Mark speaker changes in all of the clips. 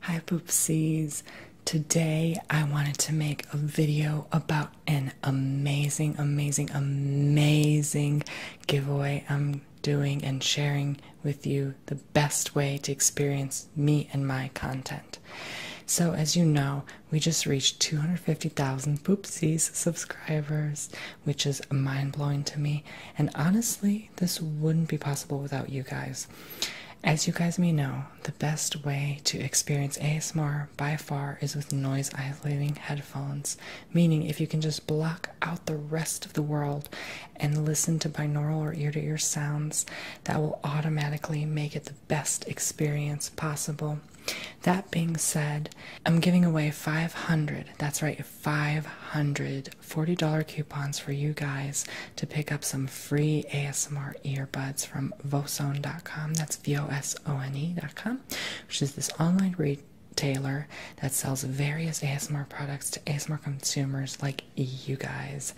Speaker 1: Hi Poopsies! Today I wanted to make a video about an amazing, amazing, amazing giveaway I'm doing and sharing with you the best way to experience me and my content. So, as you know, we just reached 250,000 Poopsies subscribers, which is mind blowing to me. And honestly, this wouldn't be possible without you guys. As you guys may know, the best way to experience ASMR by far is with noise isolating headphones, meaning if you can just block out the rest of the world and listen to binaural or ear to ear sounds, that will automatically make it the best experience possible. That being said, I'm giving away 500, that's right, Five hundred dollars coupons for you guys to pick up some free ASMR earbuds from Vosone.com. That's V O S O N E.com, which is this online retailer that sells various ASMR products to ASMR consumers like you guys.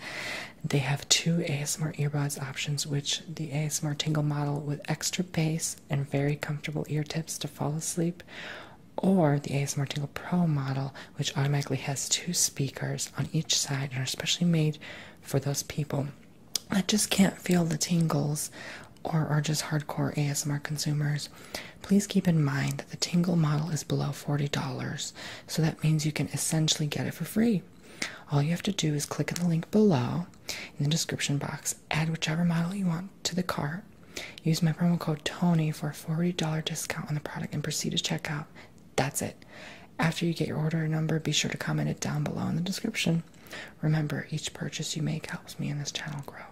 Speaker 1: They have two ASMR earbuds options, which the ASMR Tingle model with extra bass and very comfortable ear tips to fall asleep, or the ASMR Tingle Pro model, which automatically has two speakers on each side and are especially made for those people that just can't feel the tingles or are just hardcore ASMR consumers. Please keep in mind that the Tingle model is below $40, so that means you can essentially get it for free. All you have to do is click on the link below in the description box, add whichever model you want to the cart, Use my promo code TONY for a $40 discount on the product and proceed to checkout. That's it. After you get your order number, be sure to comment it down below in the description. Remember, each purchase you make helps me and this channel grow.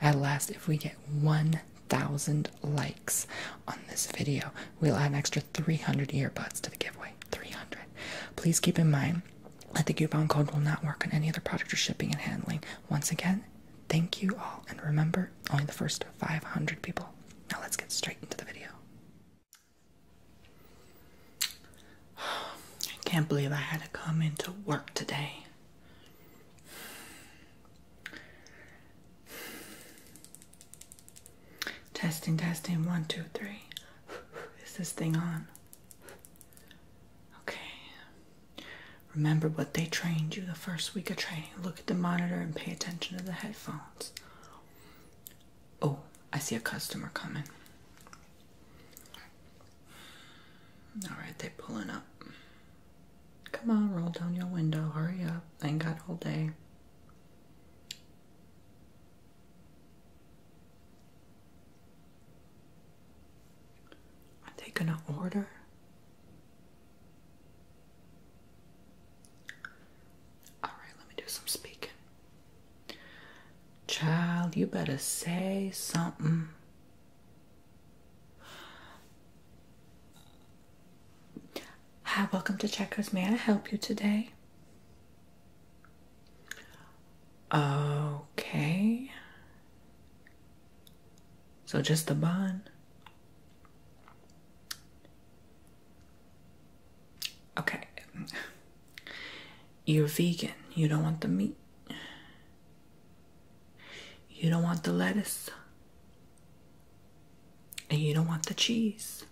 Speaker 1: At last, if we get 1,000 likes on this video, we'll add an extra 300 earbuds to the giveaway. 300. Please keep in mind that the coupon code will not work on any other product or shipping and handling. Once again, Thank you all, and remember, only the first 500 people. Now let's get straight into the video. I can't believe I had to come into work today. Testing, testing, one, two, three. Is this thing on? Okay. Remember what they trained you the first week of training. Look at the monitor and pay attention to the headphones. Oh, I see a customer coming. Alright, they they're pulling up. Come on, roll down your window. Hurry up. I ain't got all day. Are they gonna order? Alright, let me do some speaking. Child, you better say something. Hi, welcome to Checkers. May I help you today? Okay. So just the bun. Okay. You're vegan. You don't want the meat. You don't want the lettuce. And you don't want the cheese.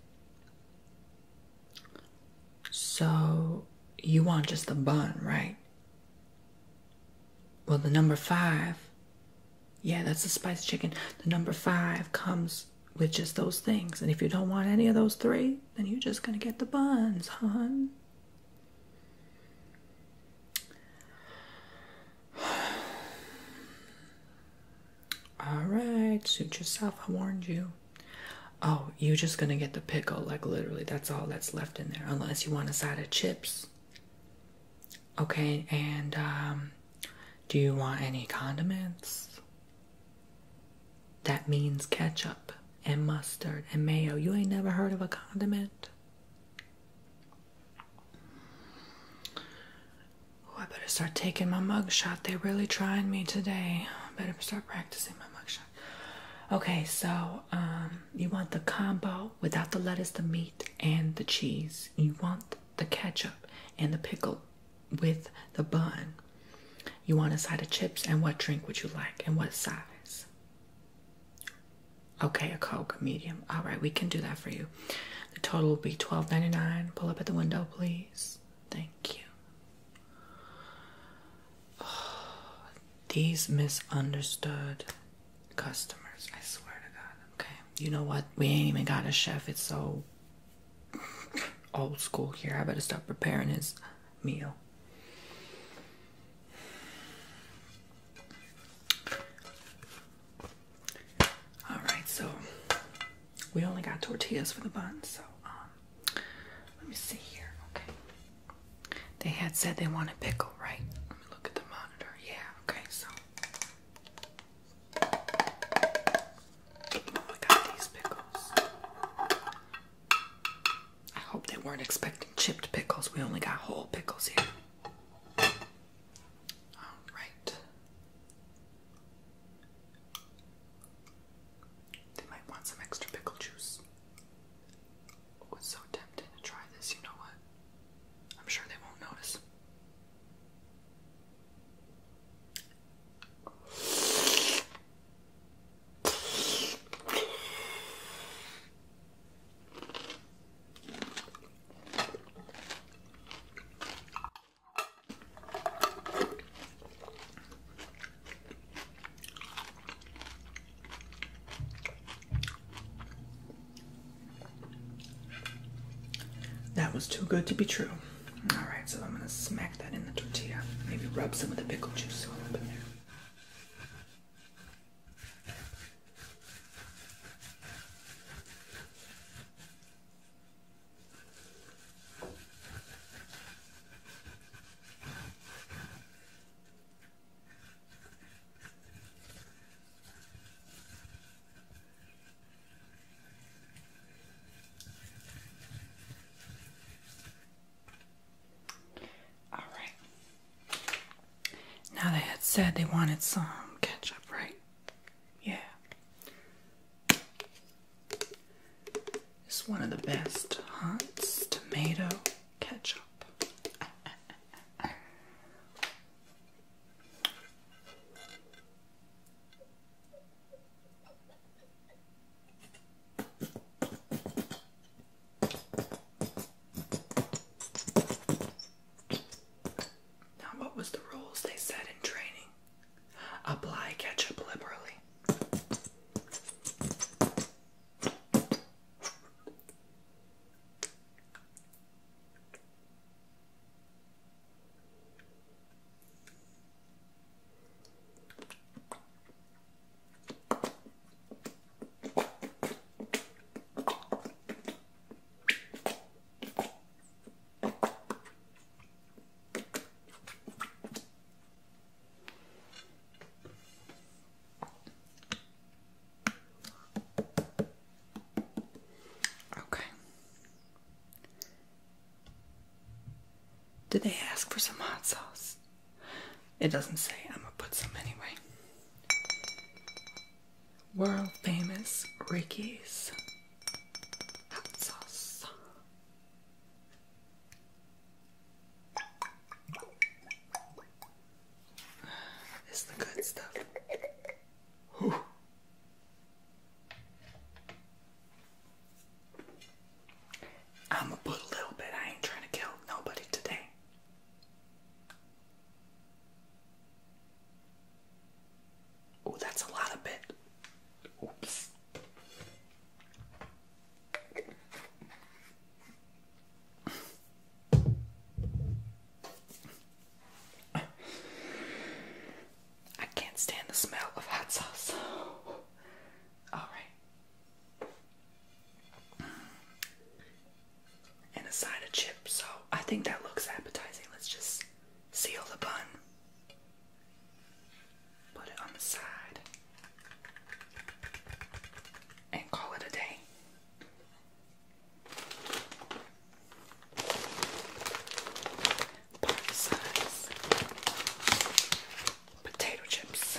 Speaker 1: So you want just the bun, right? Well, the number five, yeah, that's the spice chicken. The number five comes with just those things. And if you don't want any of those three, then you're just going to get the buns, hon. All right, suit yourself. I warned you. Oh, you're just going to get the pickle. Like, literally, that's all that's left in there, unless you want a side of chips. Okay, and um, do you want any condiments? That means ketchup and mustard and mayo. You ain't never heard of a condiment? Oh, I better start taking my mug shot. They're really trying me today. I better start practicing my mug shot. Okay, so um, you want the combo without the lettuce, the meat, and the cheese. You want the ketchup and the pickle with the bun. You want a side of chips, and what drink would you like, and what size? Okay, a Coke, medium. All right, we can do that for you. The total will be twelve ninety nine. Pull up at the window, please. Thank you. These misunderstood customers, I swear to God. Okay, you know what? We ain't even got a chef. It's so old school here. I better stop preparing his meal. All right, so we only got tortillas for the bun, so um, let me see here. Okay. They had said they wanted pickle, right? Let me look at the monitor. Yeah, okay, so I got these pickles. I hope they weren't expecting chipped pickles. We only got whole pickles here. All right. They might want some extra pickle juice. I was so tempted to try this, you know what? I'm sure they won't notice. That was too good to be true. All right, so I'm gonna smack that in the tortilla. Maybe rub some of the pickle juice up in there. All right. Now they had said they wanted some ketchup, right? Yeah. It's one of the best hunts. tomato ketchup. Now, what was the rules they said in training? Apply ketchup liberally. Okay. Did they ask for some hot sauce? It doesn't say. I'm gonna put some anyway. World famous Ricky's hot sauce. It's the good stuff. I'ma put a little bit. I ain't trying to kill nobody today. Oh, that's a lot of bit. Oops. I can't stand the smell of hot sauce. All right. And a side of chips. So I think that looks appetizing. Let's just seal the bun put it on the side, and call it a day. Party potato chips.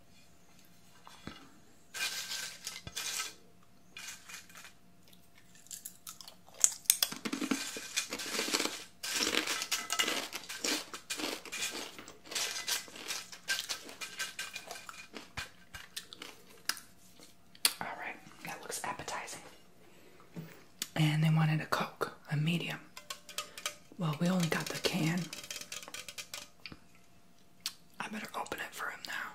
Speaker 1: All right, that looks appetizing. And they wanted a Coke, a medium. Well, we only got the can. I better open it for him now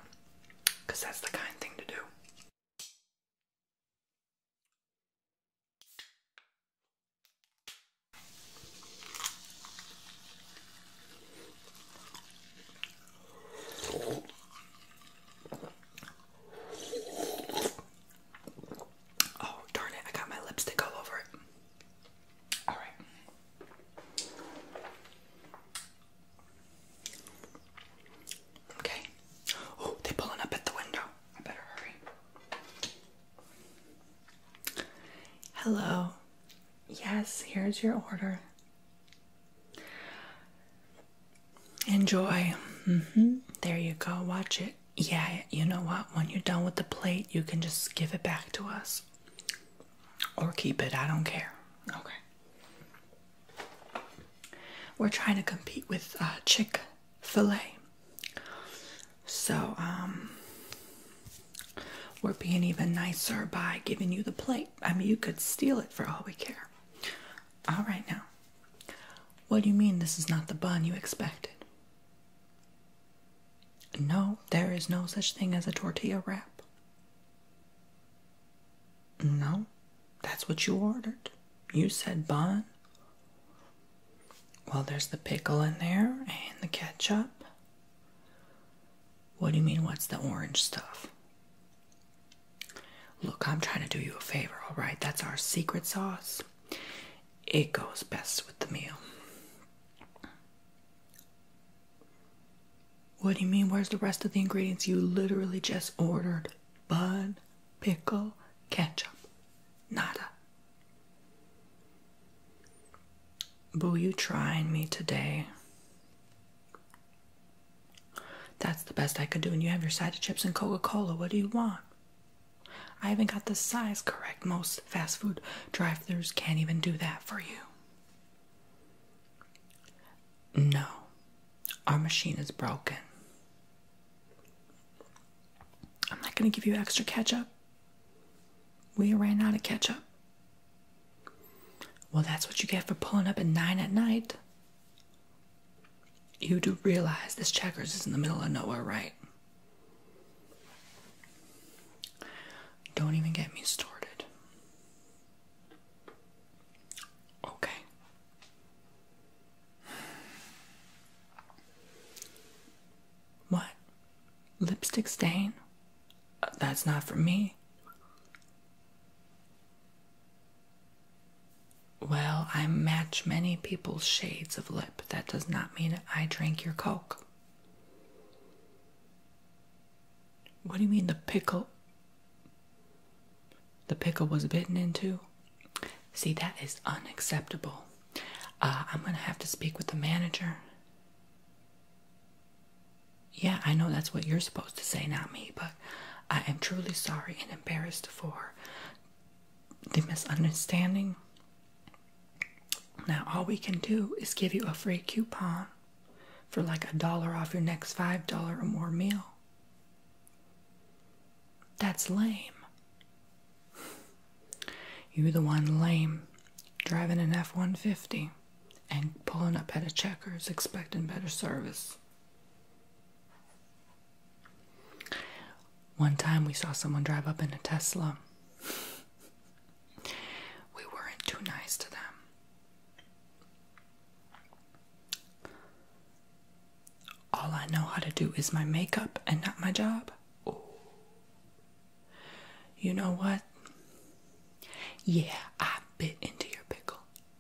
Speaker 1: because that's the kind thing to do. Oh, darn it, I got my lipstick all over it. All right. Okay. Oh, they're pulling up at the window. I better hurry. Hello. Yes, here's your order. Enjoy. Mm-hmm. There you go. Watch it. Yeah, you know what? When you're done with the plate, you can just give it back to us or keep it. I don't care. Okay. We're trying to compete with uh, Chick Fil A, so um, we're being even nicer by giving you the plate. I mean, you could steal it for all we care. All right now. What do you mean this is not the bun you expected? No, there is no such thing as a tortilla wrap. No, that's what you ordered. You said bun. Well, there's the pickle in there and the ketchup. What do you mean, what's the orange stuff? Look, I'm trying to do you a favor, all right? That's our secret sauce. It goes best with the meal. What do you mean? Where's the rest of the ingredients? You literally just ordered bun, pickle, ketchup. Nada. Boo, you trying me today. That's the best I could do, and you have your side of chips and Coca Cola. What do you want? I haven't got the size correct. Most fast food drive thrus can't even do that for you. No, our machine is broken. I'm not going to give you extra ketchup. We ran out of ketchup. Well, that's what you get for pulling up at 9 at night. You do realize this checkers is in the middle of nowhere, right? Don't even get me started. Okay. What? Lipstick stain? Uh, that's not for me. Well, I match many people's shades of lip. That does not mean I drink your Coke. What do you mean the pickle? The pickle was bitten into? See, that is unacceptable. Uh, I'm gonna have to speak with the manager. Yeah, I know that's what you're supposed to say, not me, but I am truly sorry and embarrassed for the misunderstanding. Now, all we can do is give you a free coupon for like a dollar off your next $5 or more meal. That's lame. You're the one lame driving an F 150 and pulling up at a checkers expecting better service. One time we saw someone drive up in a Tesla. We weren't too nice to them. All I know how to do is my makeup and not my job. You know what? Yeah, I bit into your pickle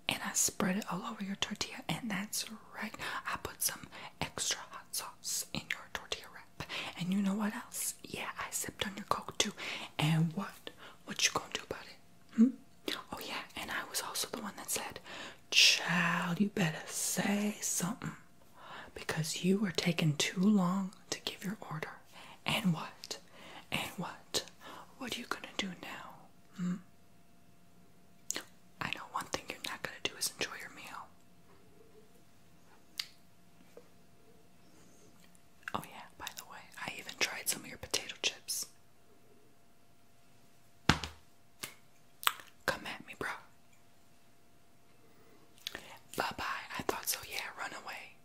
Speaker 1: and I spread it all over your tortilla, and that's right. I put some extra hot sauce in your tortilla wrap. And you know what else? Yeah, I sipped on your coke too. And what? What you gonna do about it? Hmm? Oh yeah, and I was also the one that said, Child, you better say something. Because you are taking too long to give your order. And what? And what? What are you gonna do now? Hmm? I know one thing you're not going to do is enjoy your meal. Oh, yeah, by the way, I even tried some of your potato chips. Come at me, bro. Bye bye. I thought so, yeah, run away.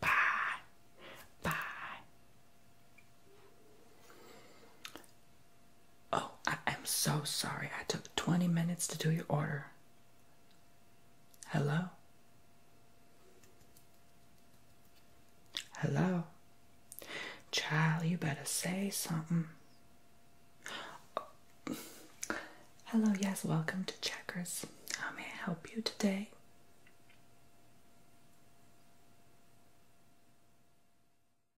Speaker 1: Bye. Bye. Oh, I am so sorry. I took 20 minutes to do your order. Hello? Hello? Child, you better say something. Hello, yes, welcome to Checkers. How may I help you today?